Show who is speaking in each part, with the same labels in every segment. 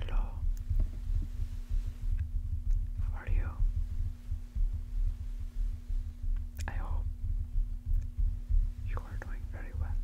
Speaker 1: Hello, how are you? I hope you are doing very well.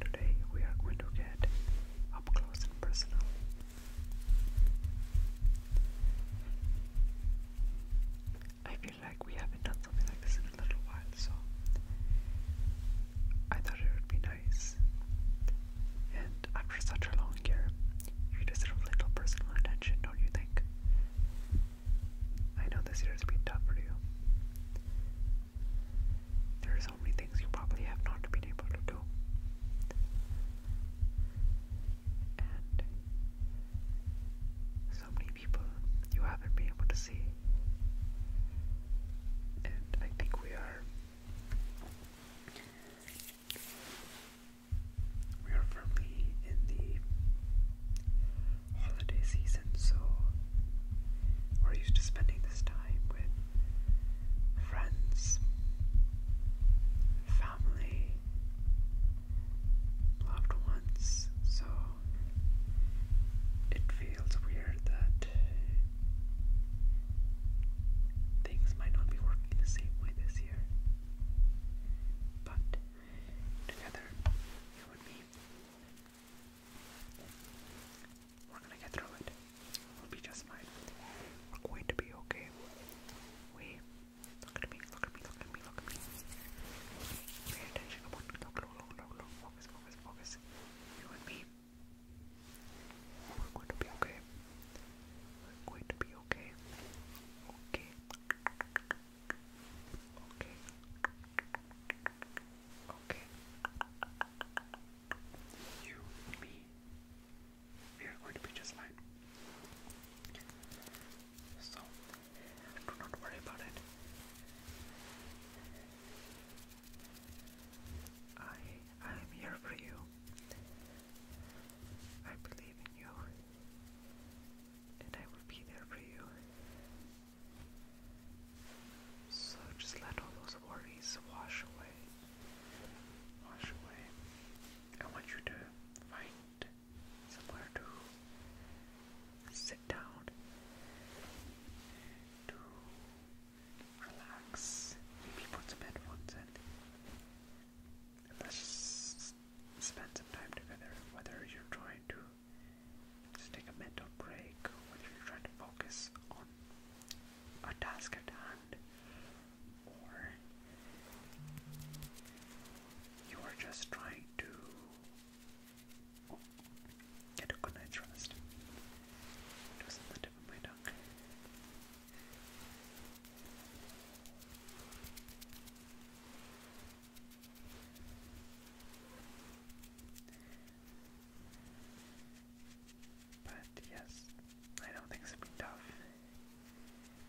Speaker 1: Today we are going to get up close and personal. I feel like we haven't done something like this in a little while, so I thought it would be nice. And after such a long year, you deserve a little personal attention, don't you think? I know this year has been tough for you. There are so many things you probably have not been able to do and so many people you haven't been able to see. And I think we are we are firmly in the holiday season, so we're used to spending this time with friends, family, loved ones, so it feels weird that things might not be working the same way this year. But together, you and me, we're gonna get through it. We'll be just fine. We're going to be okay. We Look at me, look at me, look at me, look at me. Pay attention, come on. Look, look, look, look, look. Focus, focus, focus. You and me. We're going to be okay. We're going to be okay. Okay. Okay. Okay. You, me, we are going to be just fine. So, do not worry about it. I I am here for you. I believe in you. And I will be there for you. So just let all those worries wash away wash away. I want you to find somewhere to sit down, to relax, maybe put some headphones on. and let's spend some time together, whether you're trying to just take a mental break, whether you're trying to focus on a task at hand, or you are just trying to get a good night's rest. It was on the tip of but yes, I know things have been tough.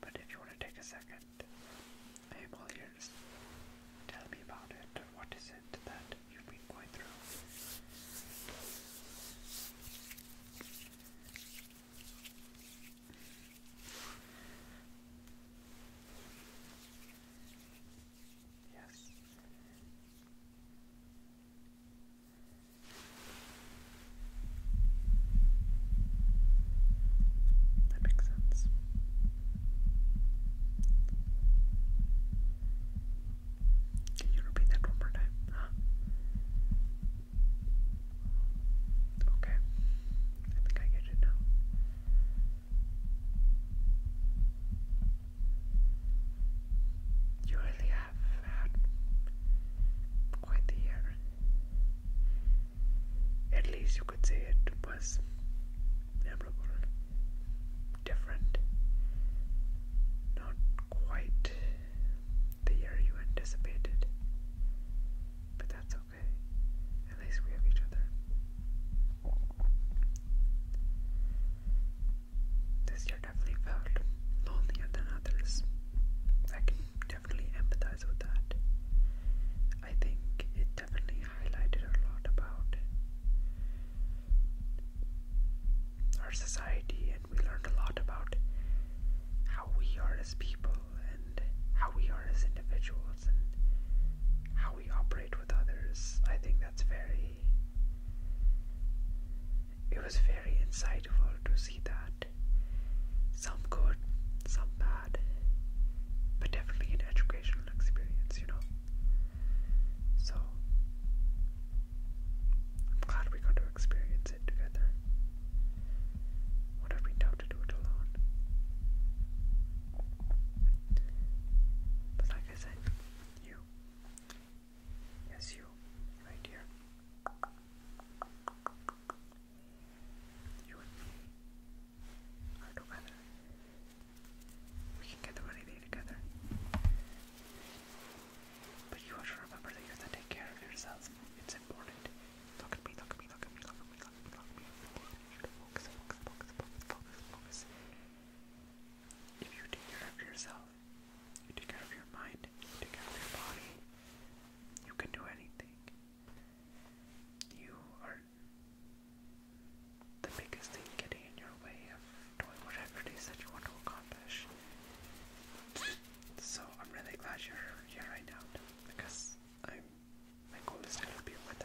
Speaker 1: But if you want to take a second, I am Tell me about it. What is it that you've been going through? Yes. That makes sense. Can you repeat that one more time? Okay. I think I get it now. You really have had quite the year. At least you could say it was memorable, different, not quite the year you anticipated. But that's okay. At least we have each other this year definitely felt lonelier than others. I can definitely empathize with that. I think it definitely highlighted a lot about our society, and we learned a lot about how we are as people and how we are as individuals and how we operate with others. I think that's very. It was very insightful to see that. Some good, some bad, but definitely an educational experience, you know? So, I'm glad we got to experience it together. Would have been tough to do it alone like I you. Yes, you. Right here. You and me are together. We can get through anything together. But you have to remember that you have to take care of yourself. It's important. Look at me, look at me, look at me, look at me. If you take care of yourself, take care of your mind, take care of your body, you can do anything. You are the biggest thing getting in your way of doing whatever it is that you want to accomplish. So I'm really glad you're here right now because I'm my goal is to help you with that.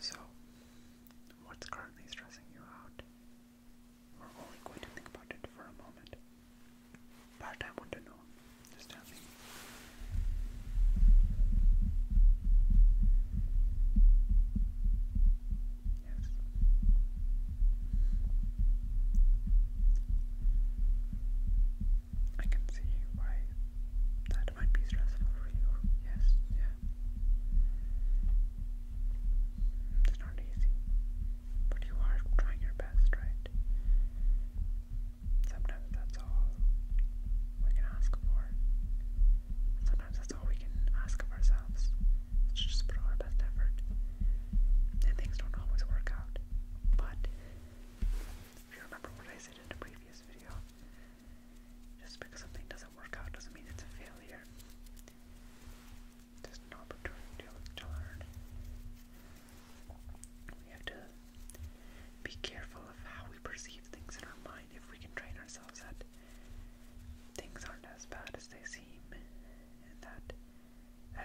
Speaker 1: So, what's currently stressing you out? We're only going to think about it for a moment. But I want to know. Just tell me. Yes. I can see why that might be stressful for you. Yes, yeah. It's not easy, but you are trying your best, right? Sometimes that's all we can ask for. Sometimes that's all we can ask of ourselves. It's just put our best effort. And things don't always work out. But if you remember what I said in a previous video, just because something doesn't work out doesn't mean it's a failure. There's an opportunity to learn. We have to be careful of how we perceive things in our mind if we can train ourselves that things aren't as bad as they seem and that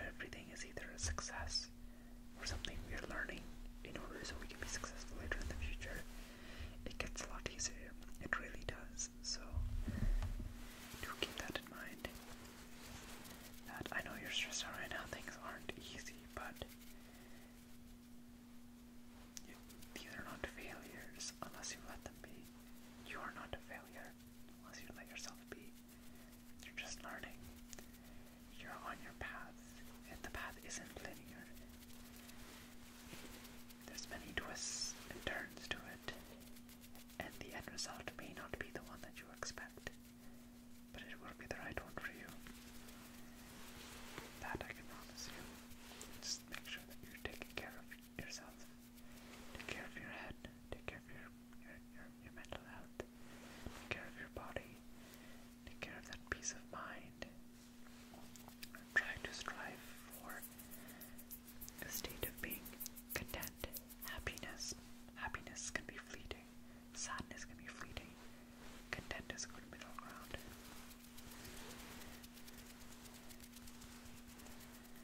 Speaker 1: Everything is either a success or something we are learning in order so we can be successful later in the future. It gets a lot easier, it really does. So, do keep that in mind. That I know you're stressed out right now, things aren't easy, but you, these are not failures unless you let them be. You are not a failure unless you let yourself be. You're just learning. You're on your path, and the path isn't linear. There's many twists and turns to it, and the end result may not be the one that you expect, but it will be the right one for you. That I can promise you. Just make sure that you're taking care of yourself Take care of your head. Take care of your your, your, mental health. Take care of your body. Take care of that peace of mind. Try to strive for a state of being content. Happiness. Happiness can be fleeting. Sadness can be fleeting. Content is a good middle ground.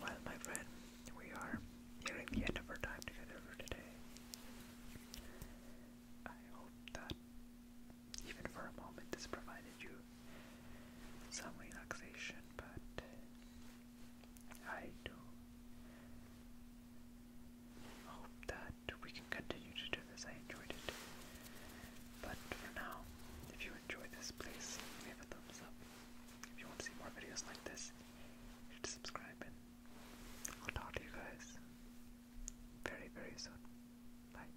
Speaker 1: Well, my friend, we are nearing the end of our time together for today. I hope that even for a moment, this provided you some relaxation, but I do hope that we can continue to do this. I enjoyed it. But for now, if you enjoyed this, please leave a thumbs up. If you want to see more videos like this, you subscribe and I'll talk to you guys very, very soon. Bye.